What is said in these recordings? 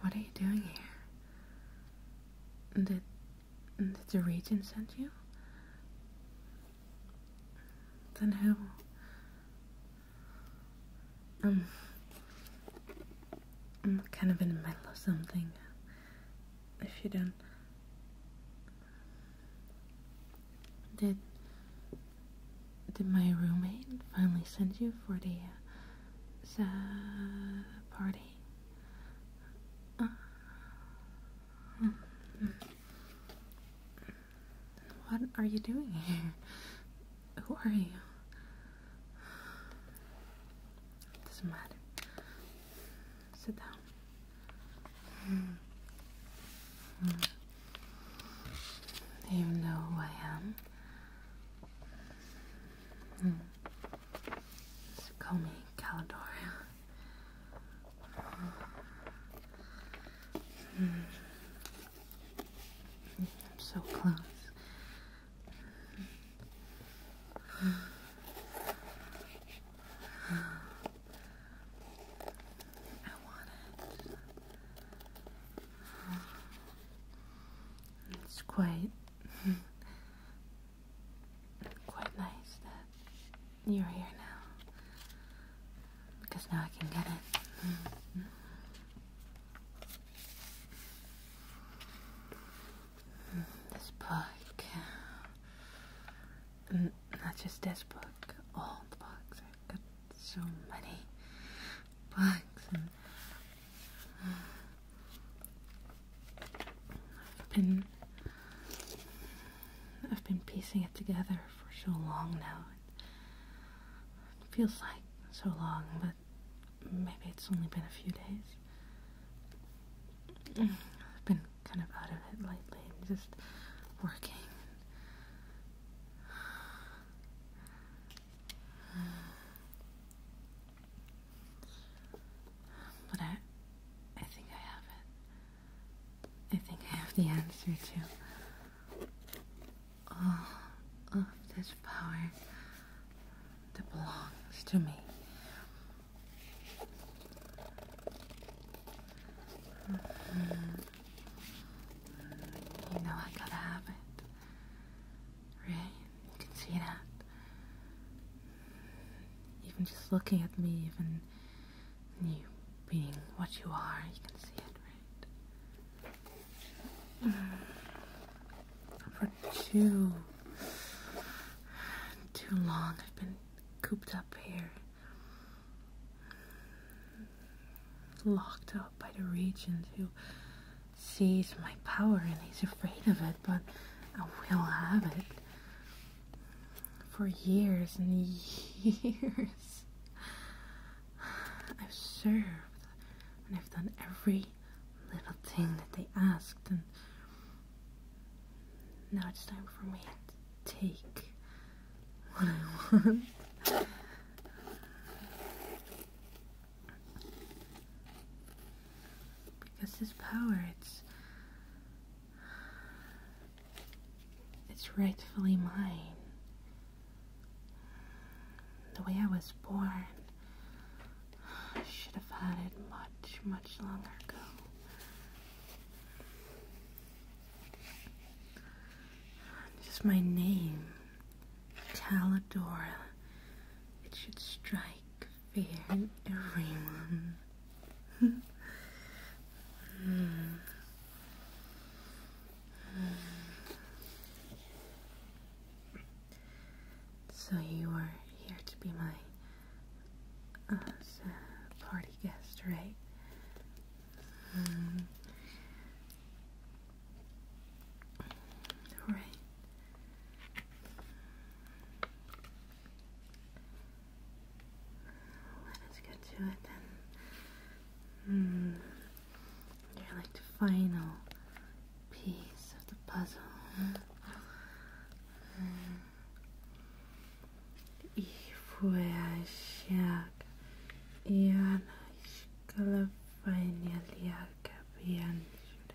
What are you doing here? Did, did the Regent send you? Then who? Um, I'm kind of in the middle of something. If you don't. Did. Did my roommate finally send you for the the party. Uh, what are you doing here? Who are you? doesn't matter. Sit down. Mm. Mm. Do you know who I am? call me Caladoria. I'm hmm. so close. I want it. It's quite quite nice that you're here now. Because now I can get it. Mm-hmm. this book. Mm, not just this book, all the books. I've got so many books I've been I've been piecing it together for so long now. It feels like so long, but maybe it's only been a few days. I've been kind of out of it lately and just working. But I, I think I have it. I think I have the answer to all of this power that belongs to me. Mm-hmm. You know I gotta have it right? You can see that. Even just looking at me, even you being what you are, you can see it, right? Mm. For too, too long, I've been cooped up here. Locked up by the region too sees my power and he's afraid of it, but I will have it for years and years. I've served and I've done every little thing that they asked, and now it's time for me to take what I want. Because his power, it's. It's rightfully mine. The way I was born, I should have had it much, much longer ago. Just my name Talidora, it should strike fear in everyone. So you are here to be my uh, party guest, right? All right. Let us get to it then. Hmm. You're like the final piece of the puzzle. Ich fuhr stark i annars skulle vänja leka benskjulet.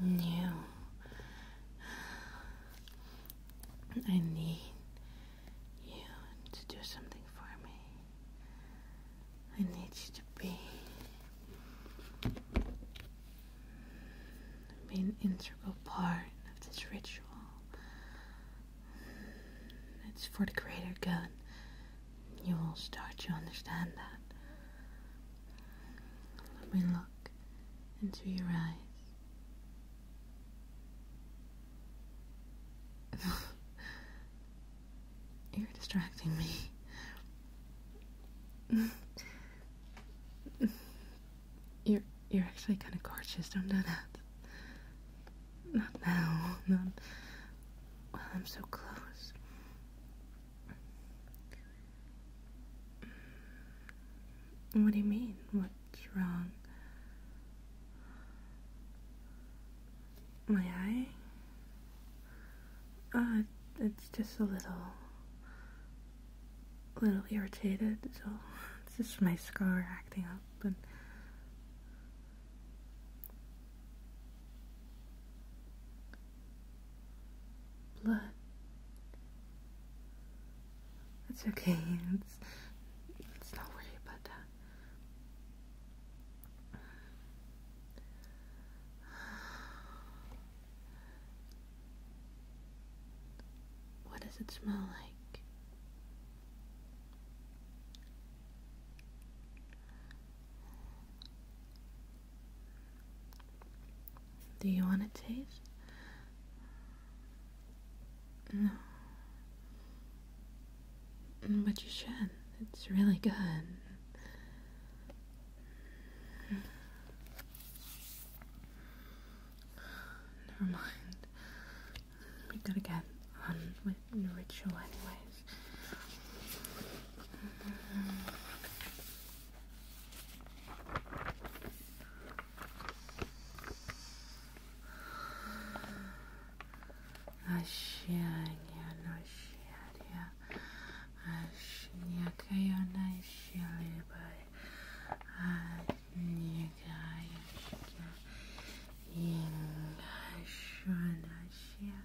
new. I need you to do something for me. I need you to be, be an integral part of this ritual. It's for the greater good you will start to understand that. Let me look into your eyes. You're distracting me. you're you're actually kind of gorgeous. Don't know that. Not now, not I'm so close. What do you mean? What's wrong? My eye? Ah, uh, it's just a little, little irritated, so it's just my scar acting up and that's okay. It's, it's not worry about that. What does it smell like? Do you want to taste? No. But you should. It's really good. Never mind. We gotta get on with ritual, anyways. Um, Ощущение, ощущение, ощущение, ощущение, ощущение, ощущение,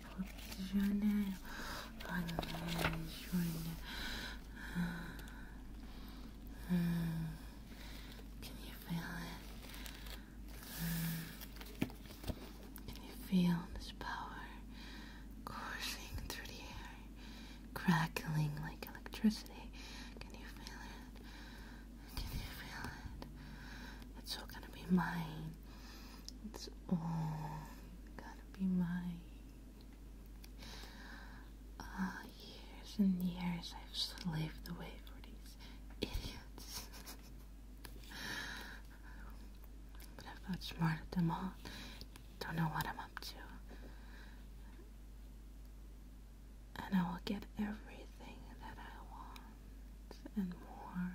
professionnel Can you feel it? Can you feel this power coursing through the air, crackling like electricity? Can you feel it? Can you feel it? It's all gonna be mine. It's all gonna be mine. Uh, years and years I've slaved away for these idiots. but I've outsmarted them all. Don't know what I'm up to. And I will get everything that I want and more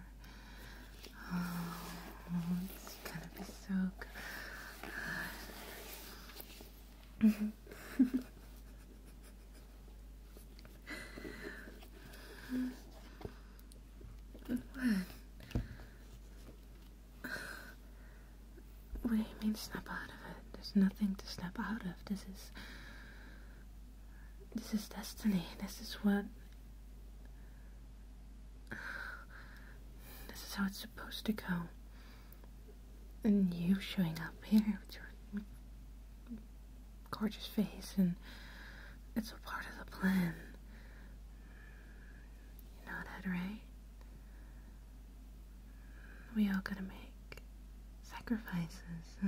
it's gonna be so good. what? What do you mean snap out of it? There's nothing to snap out of. This is. This is destiny. This is what this is how it's supposed to go. And you showing up here with your gorgeous face, and it's all part of the plan. You know that, right? We all gotta make sacrifices.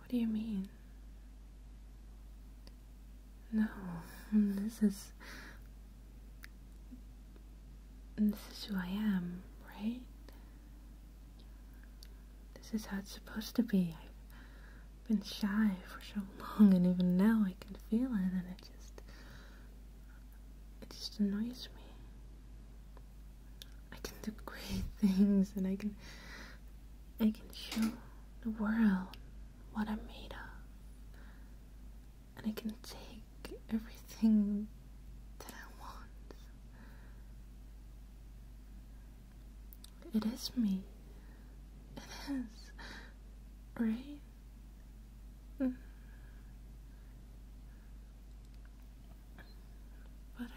What do you mean? No, this is. This is who I am, right? This is how it's supposed to be. I've been shy for so long, and even now I can feel it, and it just it just annoys me. I can do great things and I can I can show the world what I'm made of. And I can take everything that I want. It is me. It is. Right? Mm. but I've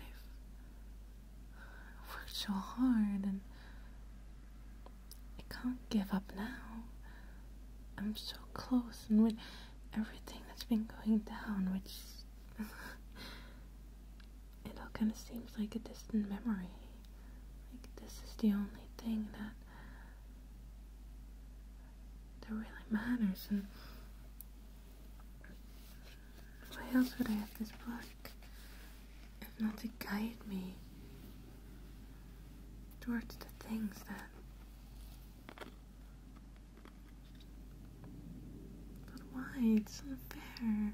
worked so hard and I can't give up now. I'm so close, and with everything that's been going down, which it all kind of seems like a distant memory. Like, this is the only thing that that really matters. And why else would I have this book if not to guide me towards the things that but why it's unfair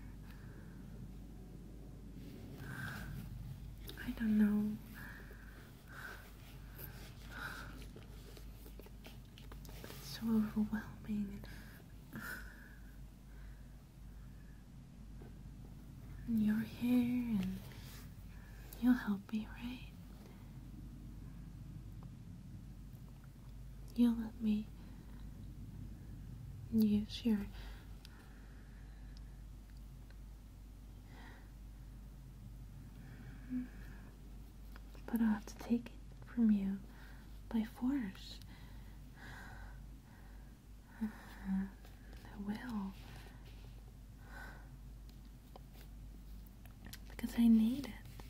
I don't know it's so overwhelming. And you're here and you'll help me, right? You'll let me use your but I'll have to take it from you by force. I will. Because I need it.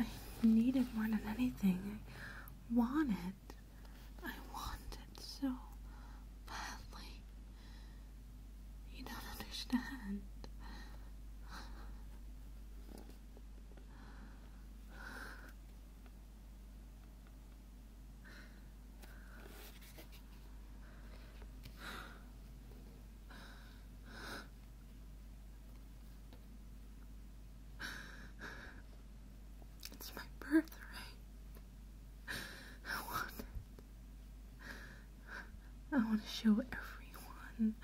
I need it more than anything. I want it. I want it so badly. You don't understand. It's my birthright. I want I want to show everyone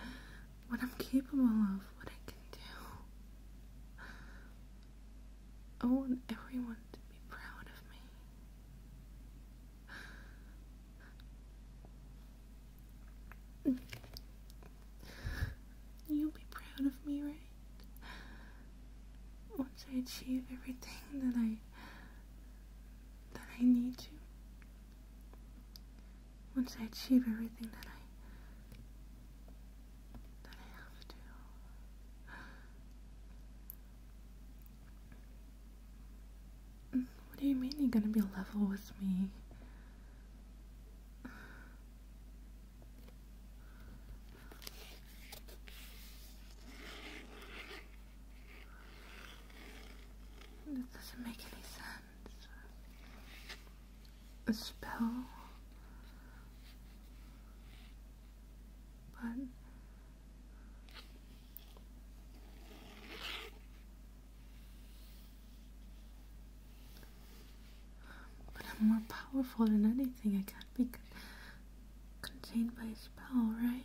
what I'm capable of, what I can do. I want everyone to be proud of me. You'll be proud of me, right? Once I achieve everything that I that I need you. Once I achieve everything that I that I have to. What do you mean you're gonna be level with me? This doesn't make any sense. A spell? But... But I'm more powerful than anything. I can't be contained by a spell, right?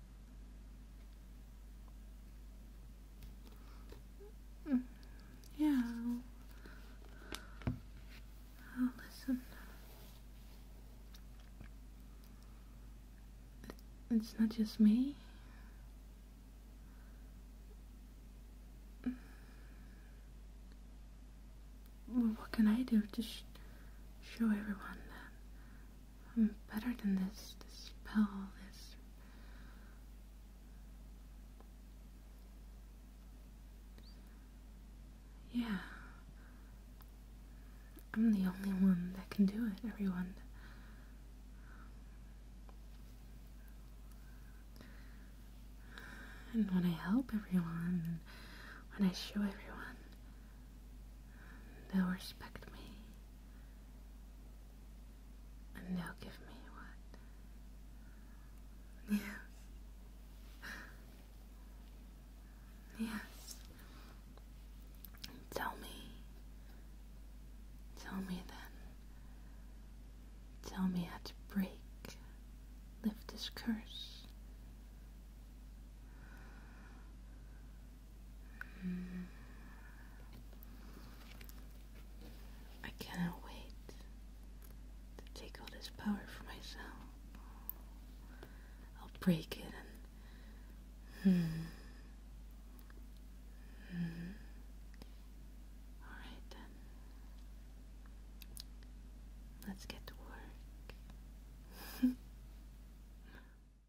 Hmm. Yeah, listen. It's not just me. Well, what can I do Just show everyone that I'm mm, better than this, this spell, this. Yeah. I'm the only one that can do it, everyone. And when I help everyone, when I show everyone, they'll respect me. And they'll give me what? Yes. Yes. Tell me. Tell me then. Tell me how to break, lift this curse. I cannot wait to take all this power for myself. I'll break it and. Hmm. Mm. Alright then. Let's get to work.